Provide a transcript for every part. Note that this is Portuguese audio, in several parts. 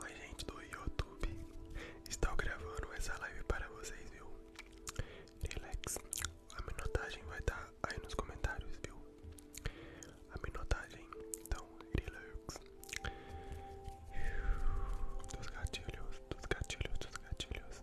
Oi gente do YouTube, estou gravando essa live para vocês, viu? Relax, a minotagem vai estar aí nos comentários, viu? A minotagem, então relax Dos gatilhos, dos gatilhos, dos gatilhos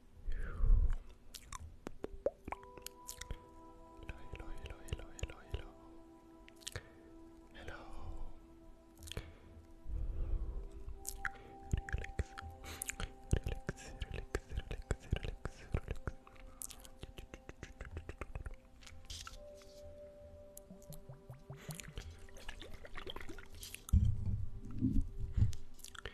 hello, hello, hello, hello, hello. Hello. Relax. Relax, relax, relax, relax, relax. Relax,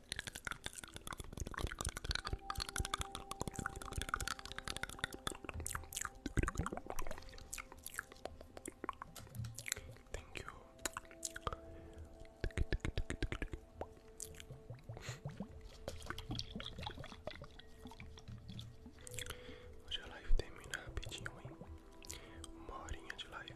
Thank you. Hoje a live termina rapidinho, hein? Uma horinha de live.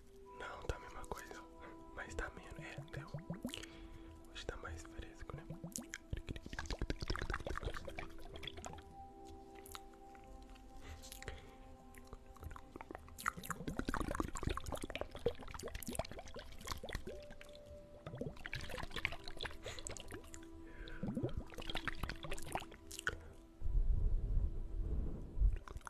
Não, tá a mesma coisa, mas tá menos. É, deu. Hoje tá mais fresco, né?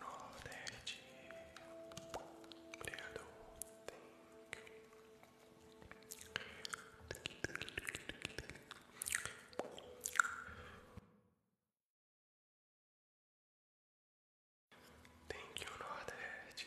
Nordeste. Obrigado. Thank you, Nordeste.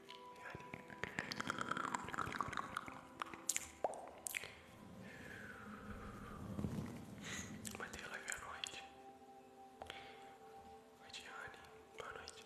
Vai ter live à noite. Oi, Diane. Boa noite.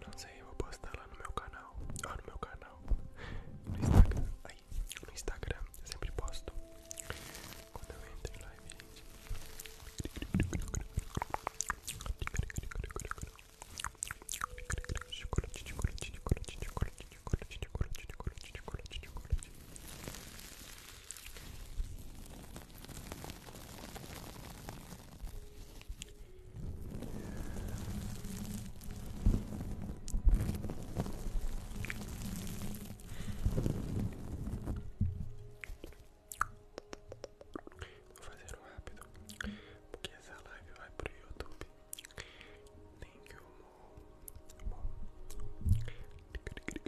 Não sei, eu vou postar lá no meu canal. Ó, ah, no meu canal. No Instagram. Eu sempre posto. Quando eu entro em live, gente. Vou fazer um rápido, porque essa live vai pro YouTube. Nem que eu morro.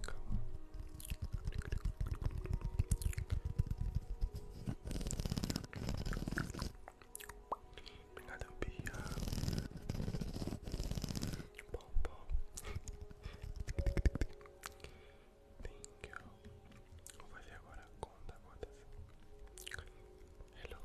Calma. Obrigado, Bia. Bom, bom. Thank you. Vou fazer agora conta gotas. Hello. Hello.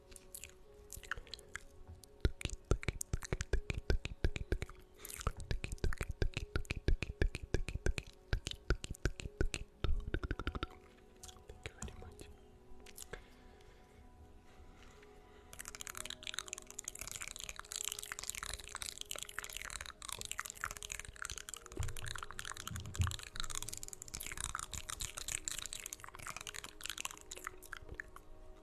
Thank you very much. Thank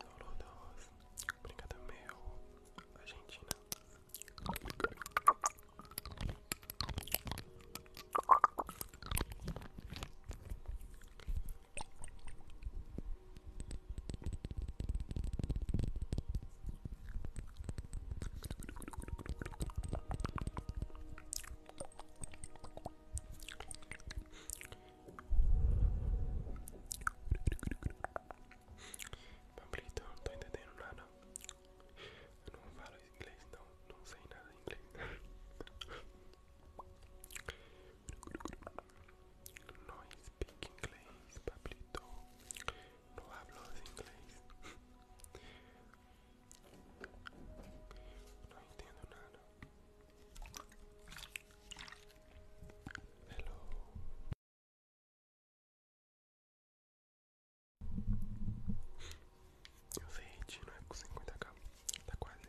Downloados, obrigado meu, Argentina. Pablito, não tô entendendo nada. Eu não falo inglês, não. Não sei nada em inglês não speak inglês, Pablito. Não hablo inglês. Não entendo nada. Hello. Eu sei, não é com 50k. Tá quase.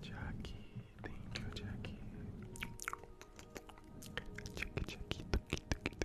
Jackie, thank you, Jackie. Jackie, Jackie. Thank you, Jackie.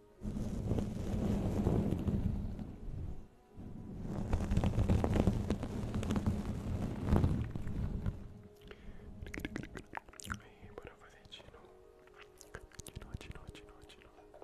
E bora fazer de novo. De novo, de novo, de novo, de novo.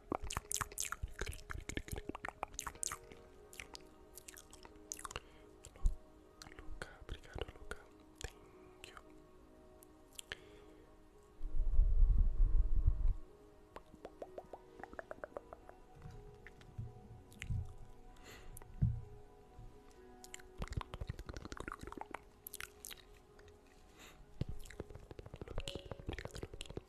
Luca, obrigado Luca, thank you. obrigado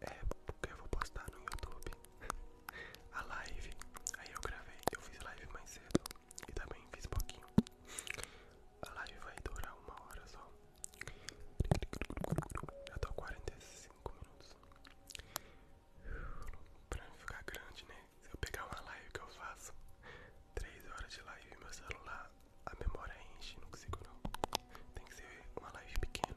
É, porque eu vou postar no YouTube a live. Aí eu gravei, eu fiz live mais cedo e também fiz pouquinho. A live vai durar uma hora só. Já tô 45 minutos. Pra ficar grande, né? Se eu pegar uma live que eu faço, 3 horas de live, meu celular, a memória enche, não consigo não. Tem que ser uma live pequena.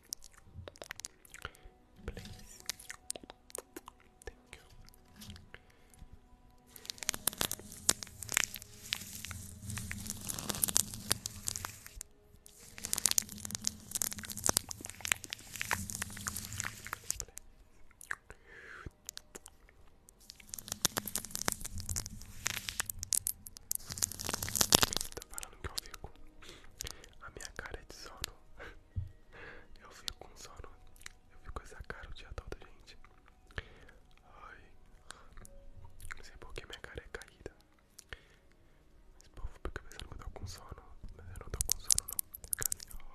Please. Tá falando que eu fico. A minha cara é de sono. Eu fico com sono. Eu fico com essa cara o dia todo, gente. Ai. Não sei porque minha cara é caída. mas povo fica pensando que eu tô com sono. Mas eu não tô com sono, não. Fica assim, ó.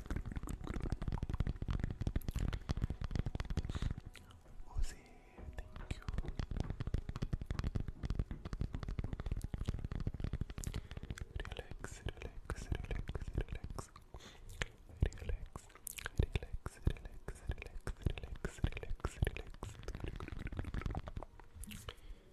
Uzi, thank you. Relax, relax, relax, relax. Relax, relax, relax, relax, relax, relax, relax.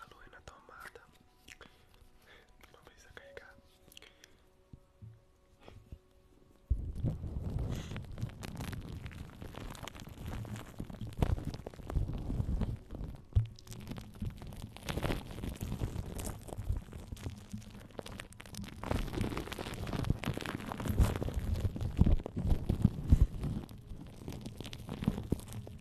A lua é na tomada. Não precisa carregar.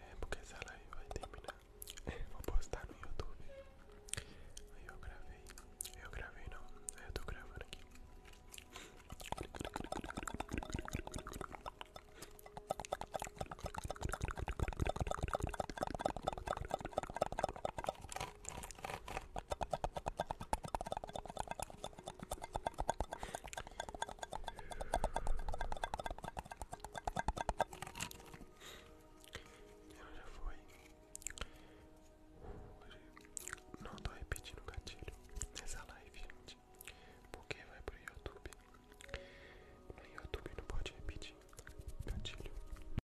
É porque essa live vai terminar. É, vou postar no YouTube. Aí eu gravei. Eu gravei não. É, eu tô gravando aqui. Já foi. Não tô repetindo o gatilho nessa live, gente. Porque vai pro YouTube. No YouTube não pode repetir gatilho.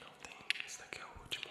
Não tem, esse daqui é o último.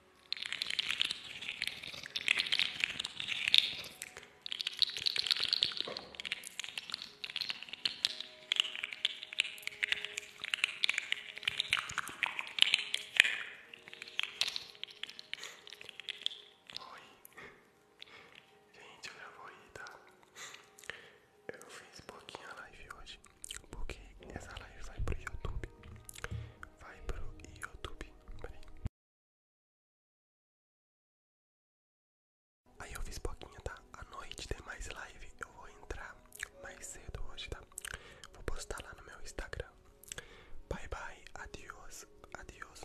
Oi, gente, eu já vou ir, tá? Eu fiz pouquinho a live hoje, porque essa live vai pro YouTube. Vai pro YouTube, Aí eu fiz boquinha, tá? A noite tem mais live. Eu vou entrar mais cedo hoje, tá? Vou postar lá no meu Instagram. Bye bye, adiós, adiós.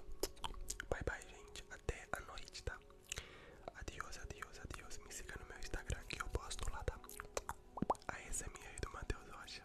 Bye bye, gente. Até a noite, tá? Adiós, adiós, adiós. Me siga no meu Instagram que eu posto lá, tá? A ASMR do Matheus Rocha.